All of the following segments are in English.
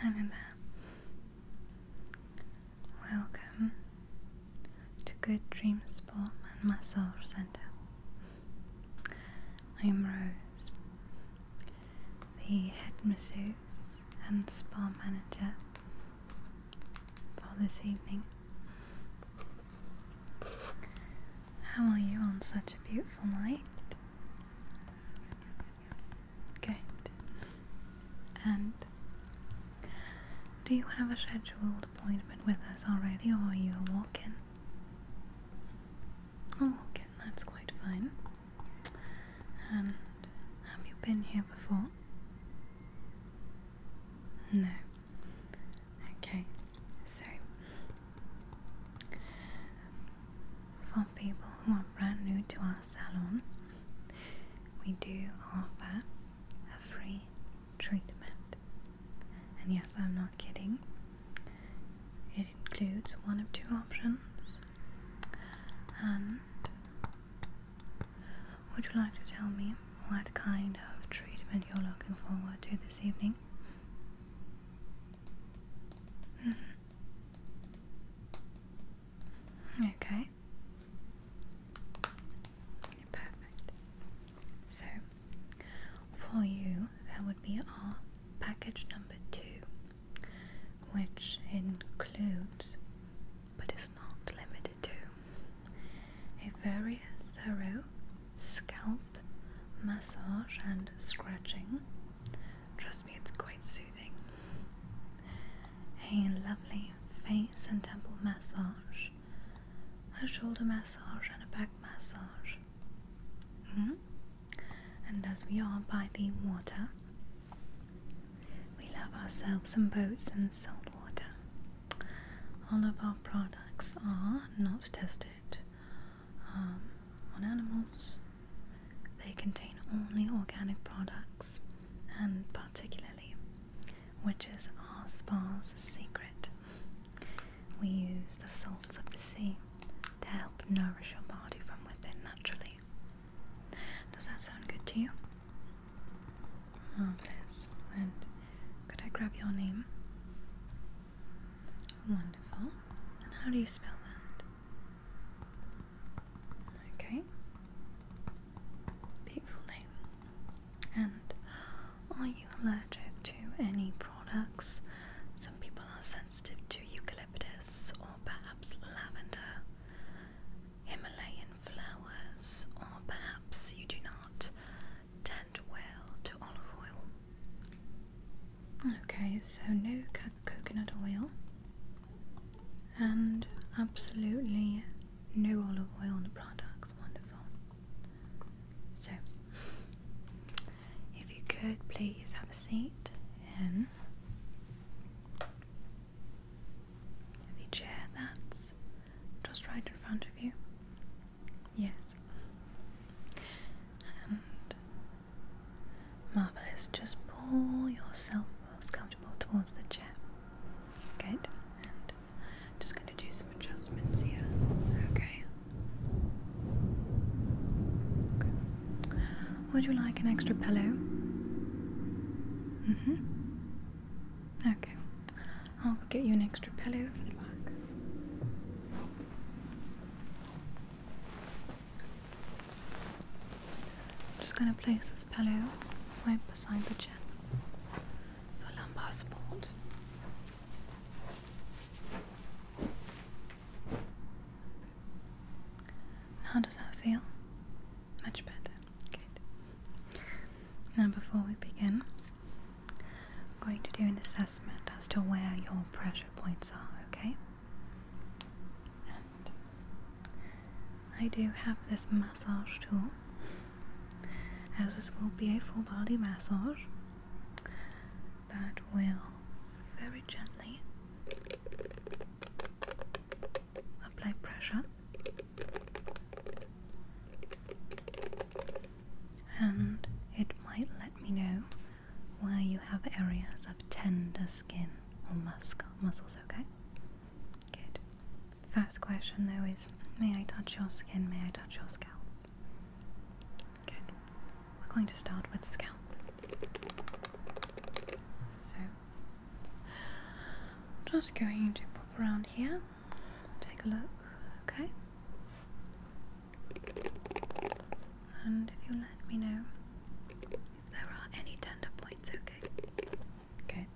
Hello there. Welcome to Good Dream Spa and Massage Center. I am Rose, the head masseuse and spa manager for this evening. How are you on such a beautiful night? Good. And do you have a scheduled appointment with us already, or are you a walk in? A walk in, that's quite fine. And have you been here before? No. Okay, so for people who are brand new to our salon, we do offer a free treatment. And yes, I'm not kidding. It includes one of two options, and would you like to tell me what kind of treatment you're looking forward to this evening? Mm-hmm. Okay. Perfect. So, for you, that would be our package number two, which includes but is not limited to a very thorough scalp massage and scratching. Trust me, it's quite soothing. A lovely face and temple massage, a shoulder massage, and a back massage. -hmm. And as we are by the water, we love ourselves some boats and salt water all of our products are not tested um, on animals. They contain only organic products, and particularly, which is our spa's secret, we use the salts of the sea to help nourish your body from within naturally. Does that sound good to you? Marvelous. And could I grab your name? Wonderful. And how do you spell that? Okay. Beautiful name. And are you allergic to any products? Some people are sensitive to eucalyptus or perhaps lavender. Himalayan flowers, or perhaps you do not tend well to olive oil. Okay, so no coconut oil and absolutely no olive oil in the products. Wonderful. So, if you could please have a seat in. The chair that's just right in front of you. Yes. And marvelous. Just pull yourself most comfortable towards the chair. Good. And just going to do some adjustments here. Okay. Would you like an extra pillow? Mm hmm. Okay. I'll get you an extra pillow for the back. just going to place this pillow right beside the chin for lumbar support. How does that feel? Much better. Good. Now, before we begin, I'm going to do an assessment as to where your pressure points are, okay? I do have this massage tool, as this will be a full body massage that will very gently apply pressure and it might let me know where you have areas of tender skin or muscle muscles okay good Fast question though is may I touch your skin may I touch your scalp good we're going to start with the scalp so just going to pop around here Take a look, okay? And if you let me know there are any tender points, okay? Good.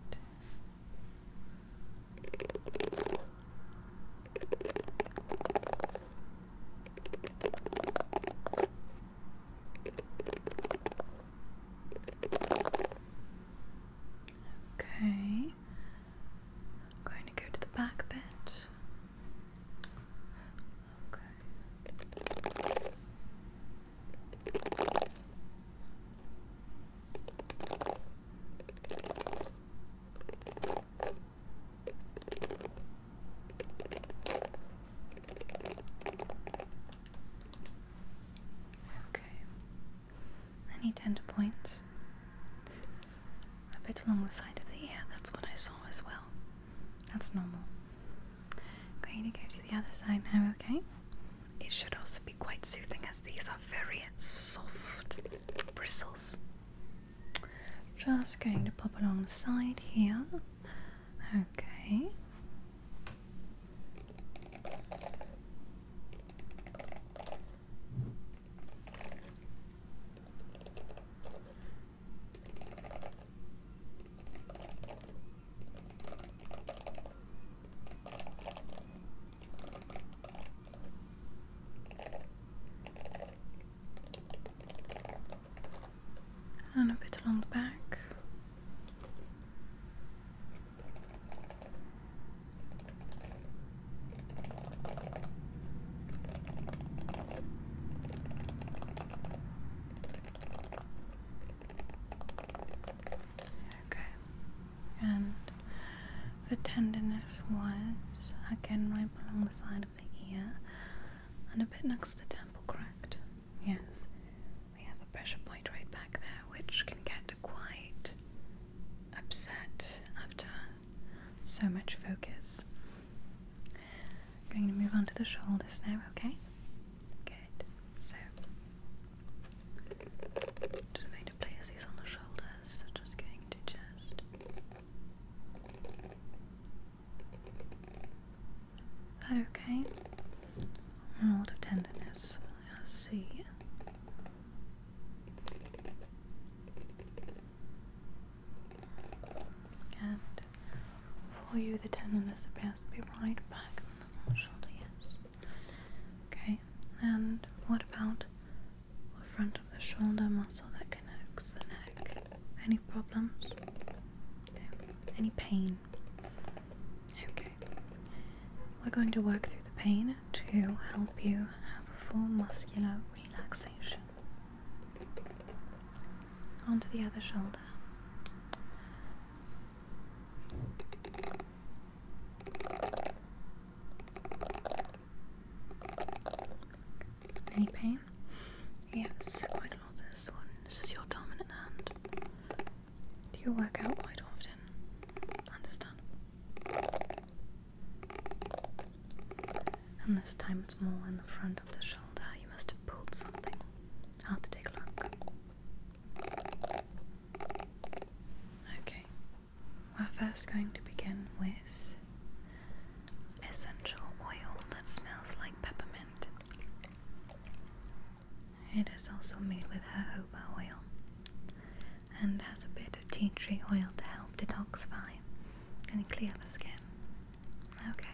Okay. I'm going to go to the back bit. Okay. Okay. Any tender points? A bit along the side of the ear, that's what I saw as well. That's normal. I'm Going to go to the other side now, okay? It should also be quite soothing as these are very soft bristles. Just going to pop along the side here. Okay and a bit along the back. Okay, and the tenderness was again right along the side of the ear and a bit next to the temple, correct? Yes, we have a pressure point right back there, which can get quite upset after so much focus. I'm going to move on to the shoulders now, okay? Good. So, just going to place these on the shoulders. just going to just is that okay? I'm of tenderness. I see. And for you, the tenderness appears to be right back on the shoulder, yes. Okay, and what about the front of the shoulder muscle that connects the neck? Any problems? Any pain? Okay. We're going to work through the pain to help you have a full muscular relaxation. Onto the other shoulder. Any pain? Yes, quite a lot this one. This is your dominant hand. Do you work out quite often? Understand. And this time it's more in the front of the shoulder. You must have pulled something. have to take a look. Okay. We're first going to begin with essential oil that smells like peppermint. It is also made with jojoba oil and has a bit of tea tree oil to help detoxify and clear the skin. Okay,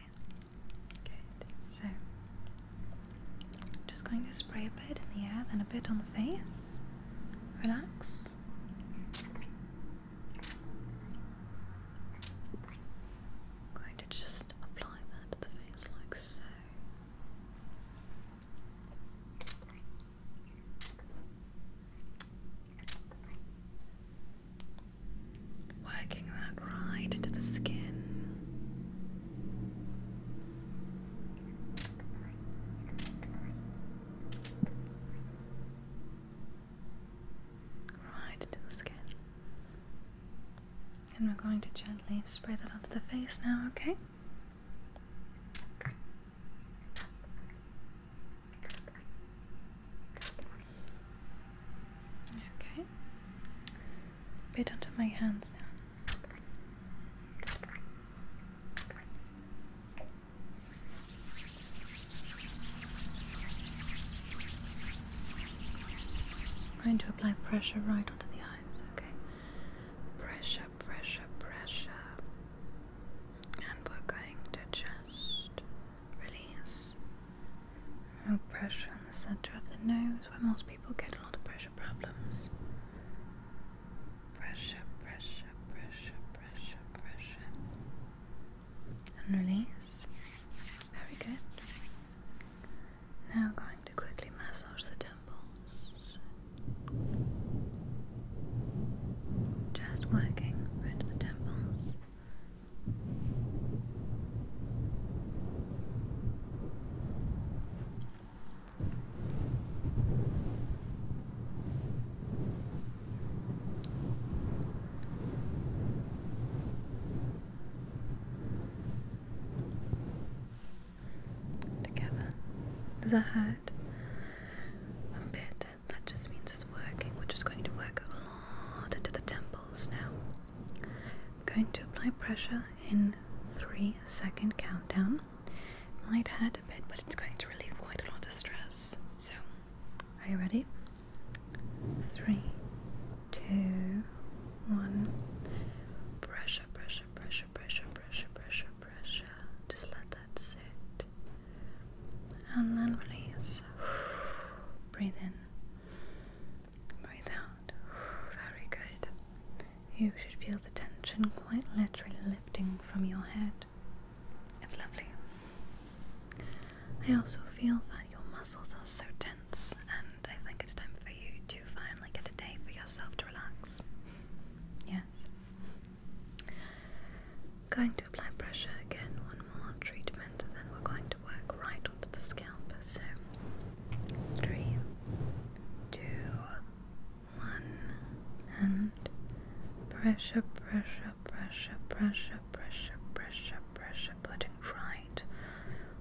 good. So, just going to spray a bit in the air, then a bit on the face. Relax. going to just apply that to the face like so. Working that right into the skin. Right into the skin. And we're going to gently spray that onto the face now, okay? Okay. A onto my hands now. I'm going to apply pressure right onto the eyes, okay? Pressure pressure, pressure, and we're going to just release No pressure in the center of the nose where most people get a lot of pressure problems. Pressure, pressure, pressure, pressure, pressure, and release. Very good. Now, going to quickly massage the just working right the temples together. There's a hat. A bit. That just means it's working. We're just going to work a lot into the temples now. I'm going to apply pressure in three second countdown. Might hurt a bit, but it's going to relieve quite a lot of stress. So, are you ready? Three, two, one. Pressure, pressure, pressure, pressure, pressure, pressure, pressure, just let that sit. And then release. Breathe in. Breathe out. Very good. You should feel the tension quite literally lifting from your head. It's lovely. I also feel that your muscles are so tense, and I think it's time for you to finally get a day for yourself to relax. Yes. Going to apply pressure again, one more treatment, and then we're going to work right onto the scalp. So, three, two, one, and pressure, pressure, pressure, pressure, pressure, pressure, pressure, putting right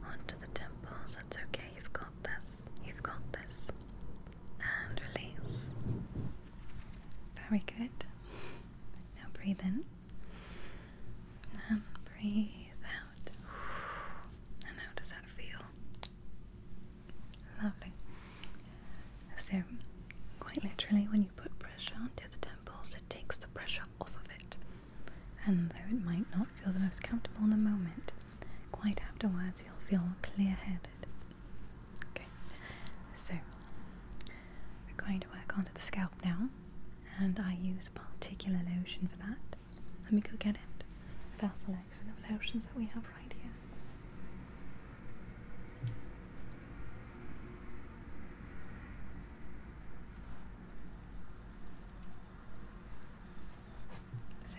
onto the temples. That's okay, you've got this, you've got this and release. Very good. Now breathe in and breathe out. And how does that feel? Lovely. So, quite literally, when you put pressure onto the temples, it takes the pressure off of it. And though it might not feel the most comfortable in the moment, quite afterwards you'll feel clear headed Okay, so we're going to work onto the scalp now, and I use a particular lotion for that. Let me go get it with our selection of lotions that we have right here. So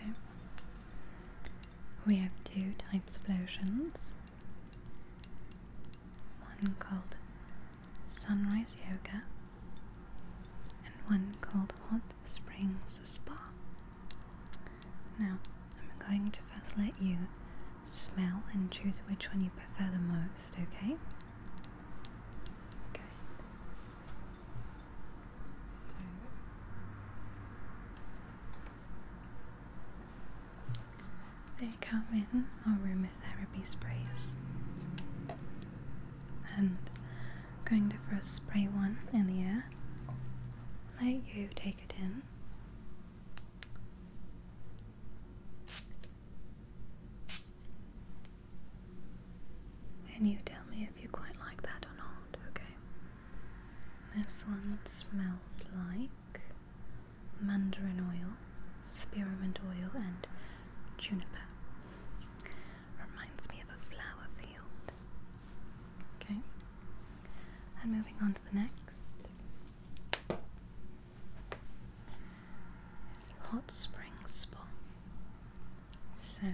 we have two types of lotions. One called Sunrise Yoga and one called Hot Springs Spa. Now, I'm going to first let you smell and choose which one you prefer the most, okay? Good. They come in our aromatherapy sprays. And I'm going to first spray one in the air. Let you take it in. And you tell me if you quite like that or not, okay? This one smells like mandarin oil, spearmint oil, and juniper. Reminds me of a flower field. Okay, and moving on to the next hot spring spa. So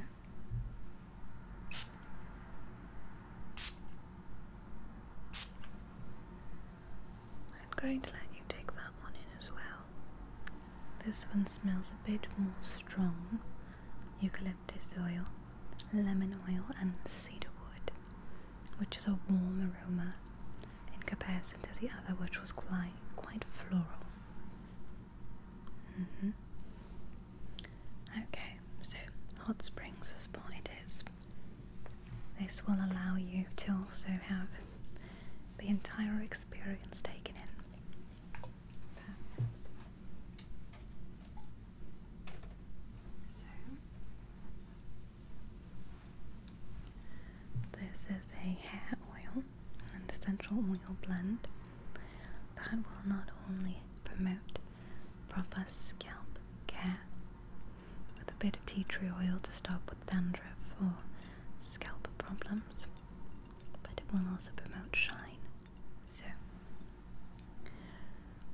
I'm going to let you take that one in as well. This one smells a bit more strong eucalyptus oil, lemon oil, and cedar wood, which is a warm aroma in comparison to the other, which was quite, floral. Mm-hmm. Okay, so hot springs is what it is. This will allow you to also have the entire experience taken in. So, this is a hair oil and essential oil blend that will not only promote proper scalp care with a bit of tea tree oil to stop with dandruff or scalp problems, but it will also promote shine. So,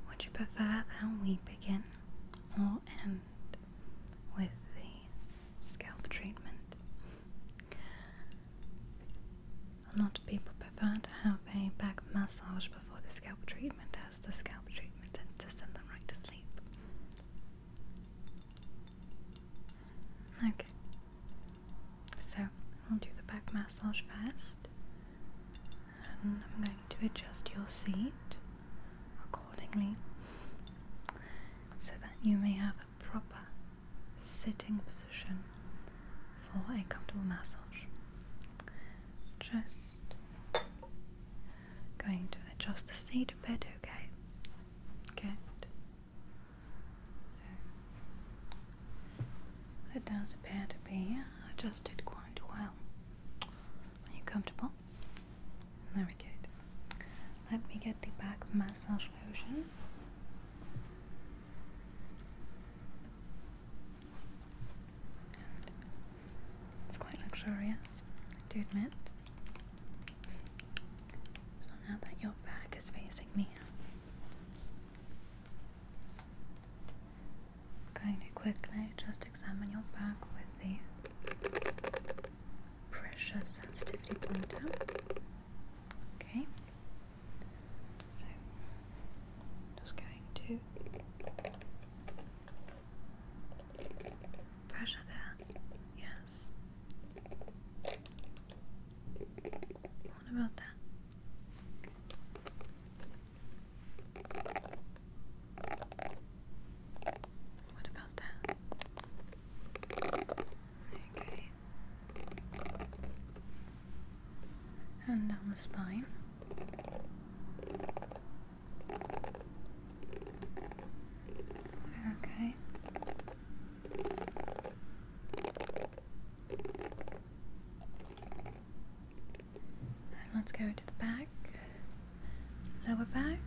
would you prefer that we begin or end with the scalp treatment? A lot of people prefer to have a back massage before the scalp treatment, as the scalp treatment tends to send them right to sleep. Okay, so we'll do the back massage first, and I'm going to adjust your seat accordingly so that you may have a proper sitting position for a comfortable massage. Just going to adjust the seat a bit, okay? Good. So it does appear to be adjusted quite well. Are you comfortable? Very good. Let me get the back massage lotion it's quite luxurious, I do admit. now that your back is facing me, going to quickly just examine your back with the pressure sensitivity pointer. Okay. So just going to pressure there. Yes. What about that? What about that? Okay and down the spine. Okay. let's go to the back, lower back.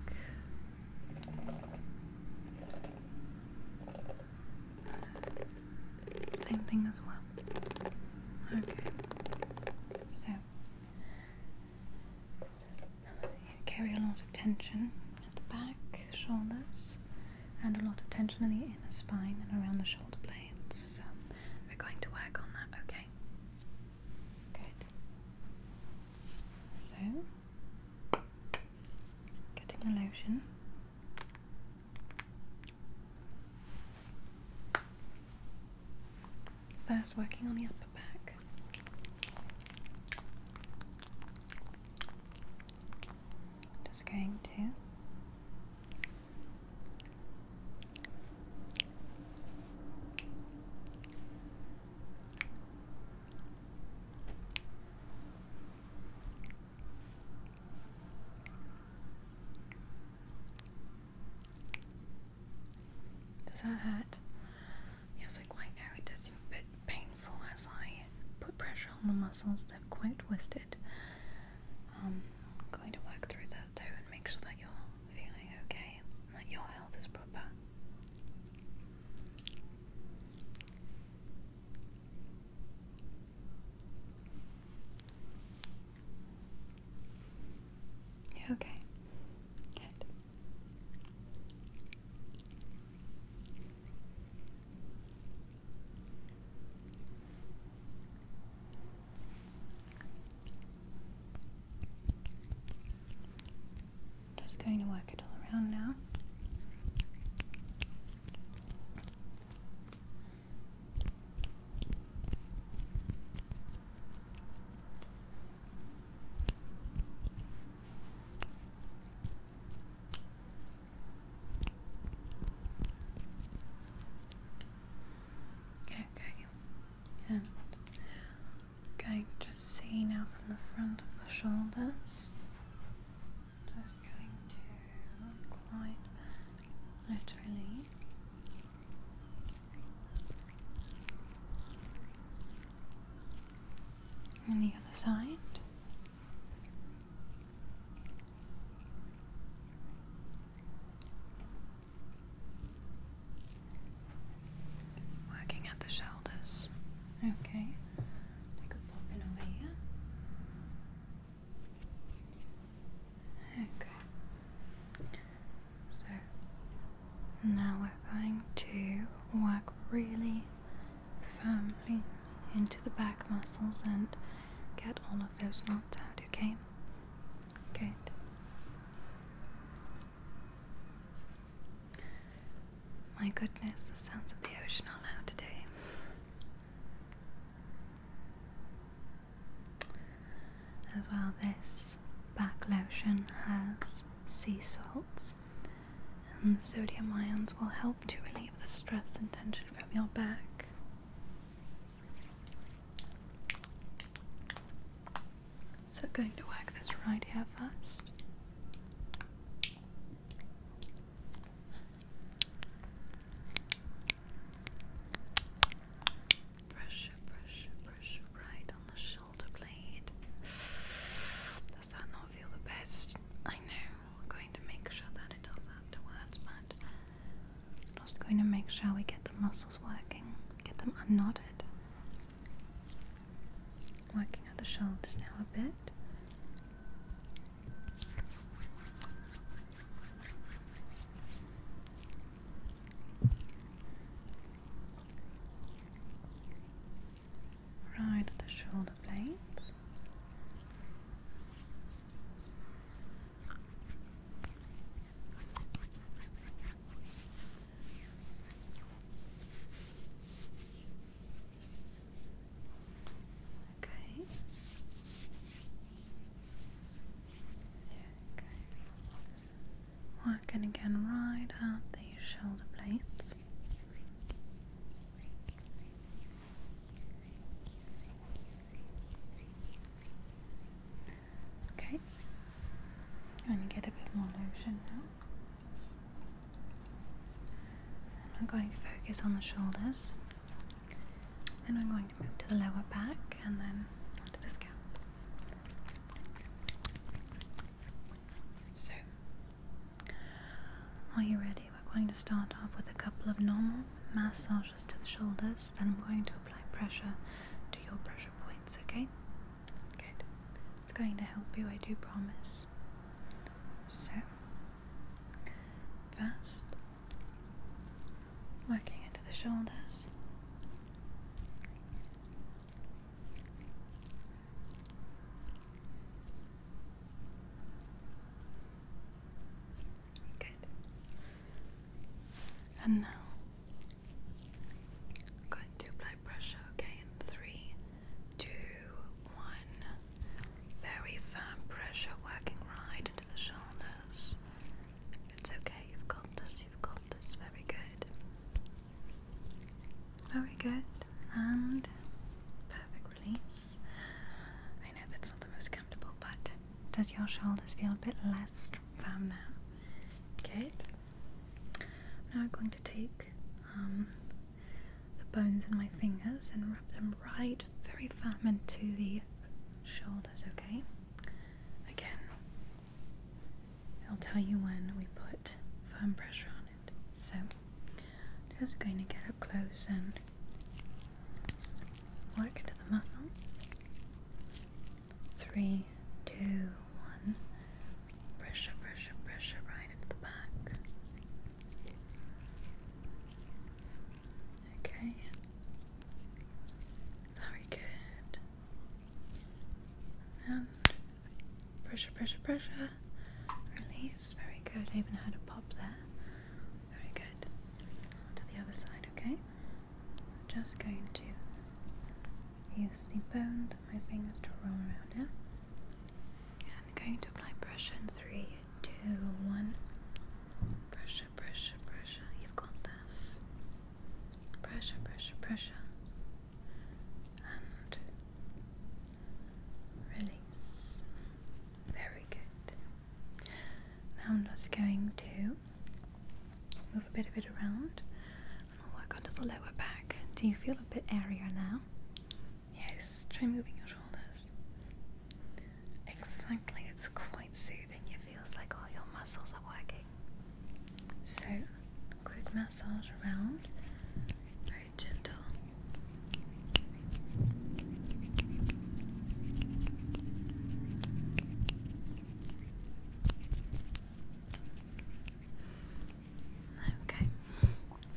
Same thing as well. Okay. So you carry a lot of tension at the back, shoulders, and a lot of tension in the inner spine and around the shoulder blades. So we're going to work on that, okay? Good. So getting the lotion. First, working on the upper back. Just going to does that hurt? Yes, was like, Why no, it does seem a bit painful as I put pressure on the muscles, they're quite twisted. Um, I'm going to work through that though and make sure that you're feeling okay, that your health is proper okay? Just going to work it all around now. Okay, and going to see now from the front of the shoulders. Just going to incline laterally. And the other side. Working at the shoulders. Okay. I could pop in over here. Okay. So now we're going to work really firmly into the back muscles and get all of those knots out, okay? Good. My goodness, the sounds of the ocean are loud today. As well, this back lotion has sea salts, and sodium ions will help to relieve the stress and tension from your back. So, going to work this right here first. Brush, pressure, pressure right on the shoulder blade. Does that not feel the best? I know. going to make sure that it does afterwards, but am just going to make sure we get the muscles working, get them unknotted. Working at the shoulders now a bit. Right at the shoulder blades. Okay. Working again right out the shoulder blades. Okay. I'm going to get a bit more lotion now. And I'm going to focus on the shoulders. Then I'm going move to the lower back and then onto the scalp. So, are you ready? We're going to start off with a couple of normal massages to the shoulders, then I'm going to apply pressure to your pressure points, okay? Good. It's going to help you, I do promise. So, first, Working into the shoulders. Good. And now going to apply pressure, okay? In three, two, one. Very firm pressure working right into the shoulders. It's okay, you've got this, you've got this. Very good. Very good. And perfect release. I know that's not the most comfortable, but does your shoulders feel a bit less firm now? Good. Now I'm going to take um, the bones in my fingers and rub them right very firm into the shoulders, okay? Again, I'll tell you when we put firm pressure on it. So, just going to get up close and work into the muscles. Three, two, one. Pressure, pressure, pressure right into the back. Okay. Very good. And pressure, pressure, pressure. Release. Very good. even heard a pop there. Very good. To the other side, okay? just going to use the bones of my fingers to roll around here. And going to apply pressure three, two, one. Pressure pressure, pressure, pressure. You've got this. Pressure, pressure, pressure. And release. Very good. Now I'm just going to move a bit, a bit around, and I'll work onto the lower back. Do you feel a bit airier now? Yes. Try moving your shoulders. Exactly. It's quite soothing. You it feels like all your muscles are working. So, quick massage around, very gentle. Okay,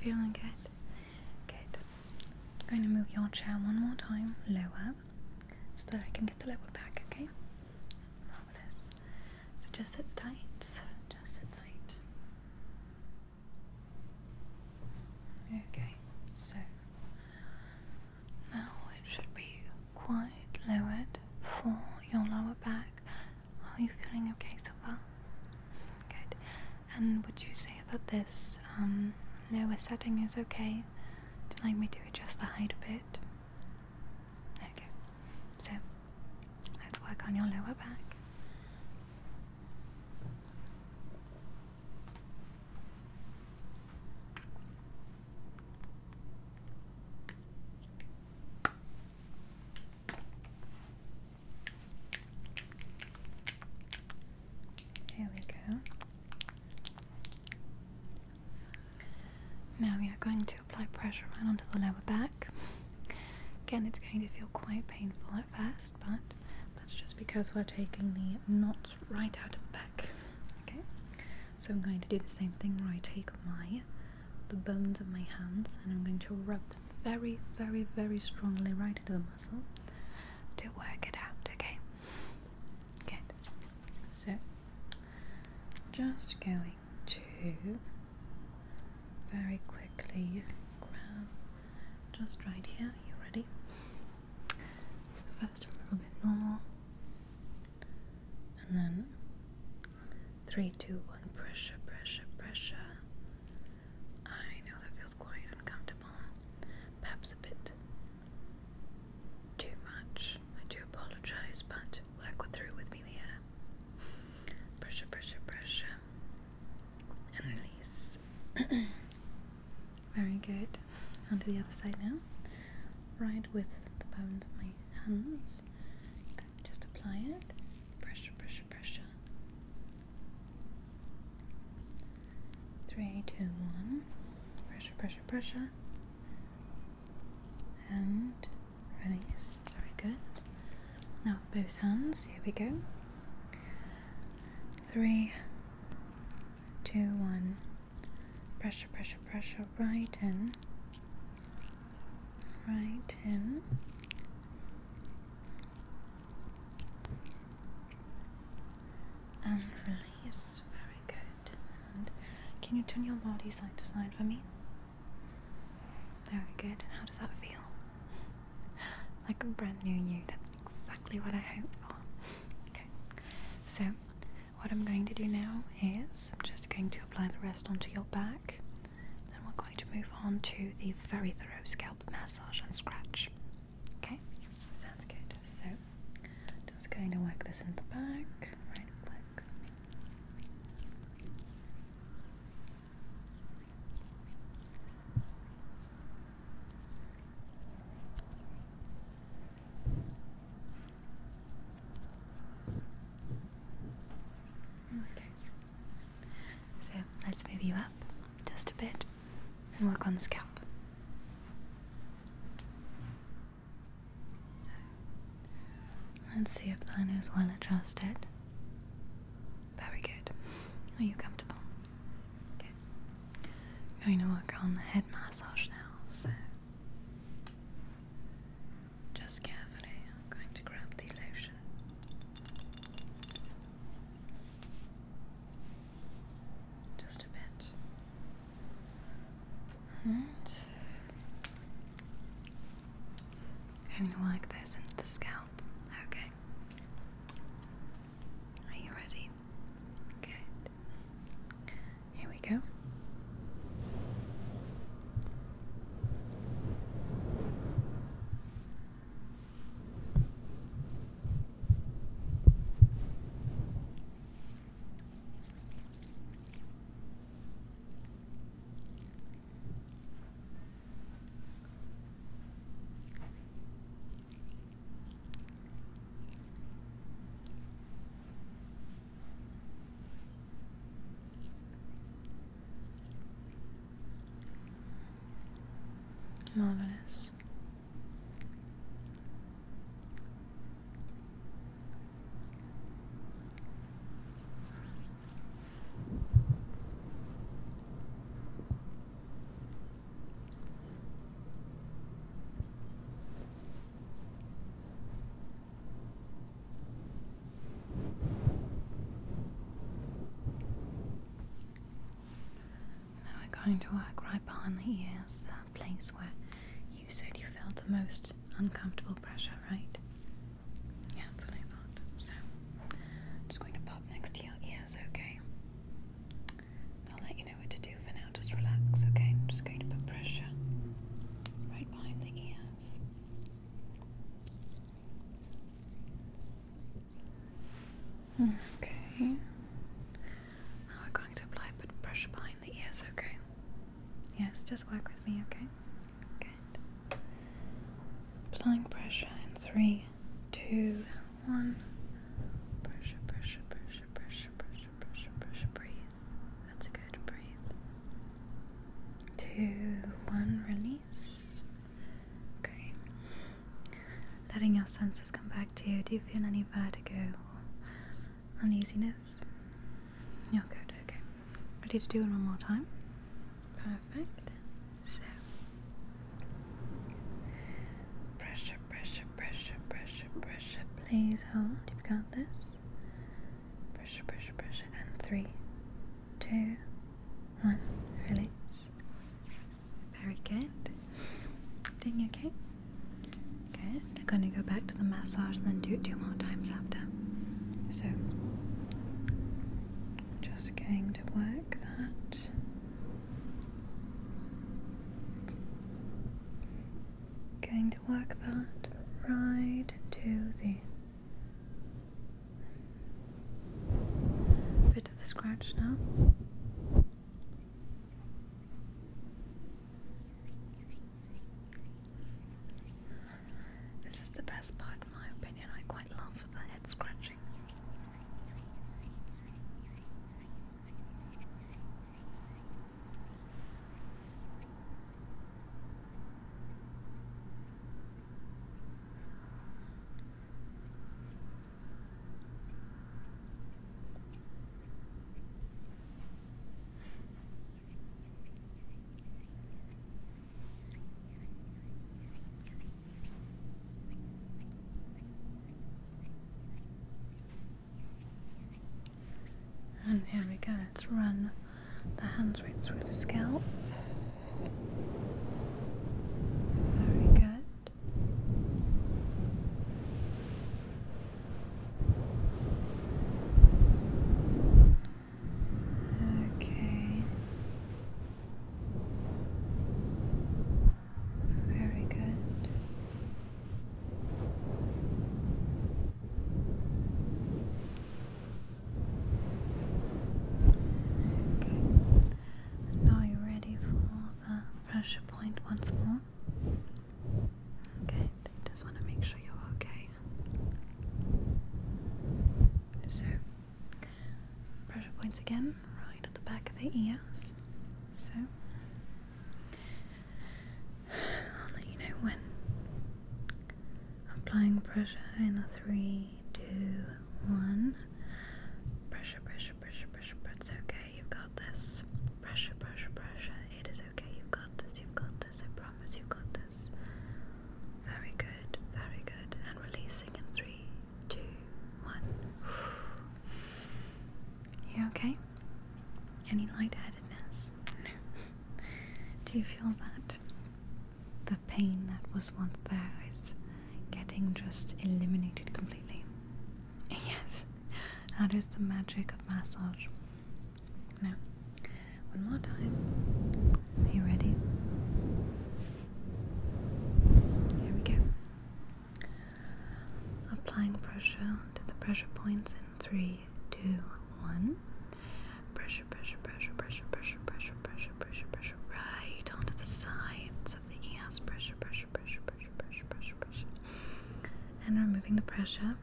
feeling good. Good. going to move your chair one more time lower so that I can get the level back, okay? Marvelous. So just sit tight, just sit tight. Okay, so now it should be quite lowered for your lower back. Are you feeling okay so far? Good. And would you say that this um, lower setting is okay? Do you like me to adjust the height a bit? Okay, so let's work on your lower back. Here we go. Now we are going to apply pressure right onto the lower back. Again, it's going to feel quite painful at first, but that's just because we're taking the knots right out of the back. Okay, so I'm going to do the same thing where I take my the bones of my hands and I'm going to rub them very, very, very strongly right into the muscle to work it out. Okay, good. So just going to very quickly grab just right here. You ready? First, a little bit normal, and then three, two, one. Pressure, pressure, pressure. I know that feels quite uncomfortable. Perhaps a bit too much. I do apologize, but work through with me here. Pressure, pressure, pressure. And release. Very good. Onto the other side now. Right with the bones of my hands. Just apply it. Pressure, pressure, pressure. Three, two, one. Pressure, pressure, pressure and release. Very good. Now with both hands, here we go. Three, two, one. Pressure, pressure, pressure. Right in. Right in. And release. Very good can you turn your body side to side for me? Very good. How does that feel? like a brand new you. That's exactly what I hope for. Okay. So, what I'm going to do now is I'm just going to apply the rest onto your back. Then we're going to move on to the very thorough scalp massage and scratch. Okay? Sounds good. So, just going to work this in the back, right click. Okay. So let's move you up just a bit and work on the scalp let's see if the liner is well adjusted. Very good. Are you comfortable? Good. going to work on the head massage now, so just carefully, I'm going to grab the lotion. Just a bit. Alright. i work this into the scalp. Okay. Are you ready? Good. Here we go. Marvelous. Now we're going to work right behind the ears place where you said you felt the most uncomfortable pressure, right? Yeah, that's what I thought. So, just going to pop next to your ears, okay? I'll let you know what to do for now. Just relax, okay? I'm just going to put pressure right behind the ears. Okay. Now we're going to apply a pressure behind the ears, okay? Yes, just work with me, okay? Good. Applying pressure in three, two, one. Pressure, pressure, pressure, pressure, pressure, pressure, pressure. Breathe. That's good. Breathe. Two, one. Release. Okay. Letting your senses come back to you. Do you feel any vertigo? uneasiness? You're good, okay. Ready to do it one more time? Perfect. So, pressure, pressure, pressure, pressure, pressure. Please hold. You've got this. Pressure, pressure, pressure. And three, two, one. Release. Very good. Doing okay? Okay, I'm gonna go back to the massage and then do it two more times after. So, just going to work that. Going to work that right to the bit of the scratch now. This is the best part, in my opinion. I quite love the head scratching. And here we go, let's run the hands right through the scalp. Very good. Okay. Very good. Okay. And you ready for the pressure point once more. Good. Just want to make sure you're okay. So, pressure points again, right at the back of the ears. So, I'll let you know when applying pressure in a three, two, one. Pressure, pressure, pressure, pressure. It's okay. You've got this. Pressure, pressure, pressure. It is okay. You've got this. You've got this you got this. Very good, very good. And releasing in three, two, one. You okay? Any lightheadedness? No. Do you feel that? The pain that was once there is getting just eliminated completely. Yes, that is the magic of massage. Now, one more time. Are you ready? Here we go. Applying pressure to the pressure points in three, two, one. Pressure, pressure, pressure, pressure, pressure, pressure, pressure, pressure, pressure, right onto the sides of the ears. Pressure, pressure, pressure, pressure, pressure, pressure, pressure. And removing the pressure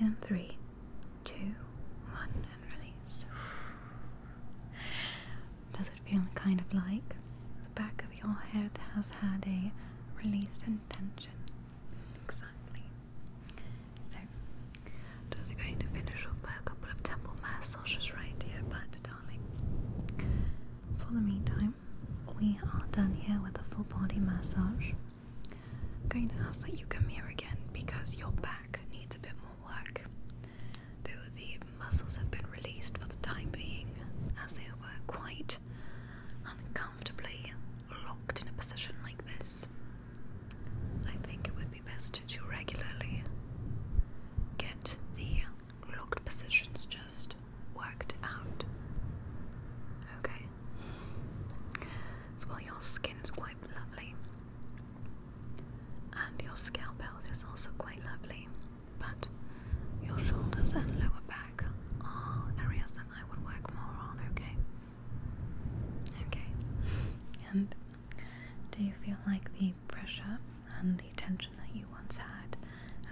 in three, two, one, and release. Does it feel kind of like the back of your head has had a release and tension? Exactly. So, just going to finish off by a couple of temple massages right here, but darling, for the meantime, we are done here with a full body massage. I'm going to ask that you come here again because your back needs a bit more work. Though the muscles have been released for the time being, as they were quite uncomfortably locked in a position like this, I think it would be best to regularly get the locked positions just worked out. Okay well your skin's quite lovely and your scalp health is also quite lovely but your shoulders and lower back are areas that I would work more on okay okay and do you feel like the pressure and the tension that you once had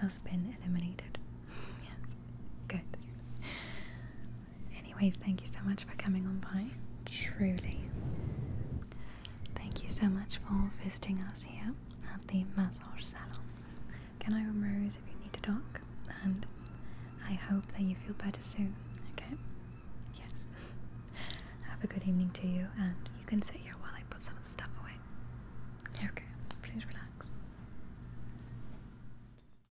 has been eliminated yes good Anyways, thank you so much for coming on by. Truly. Thank you so much for visiting us here at the massage salon. Can I rose if you need to talk? And I hope that you feel better soon, okay? Yes. Have a good evening to you, and you can sit here while I put some of the stuff away. Okay, please relax.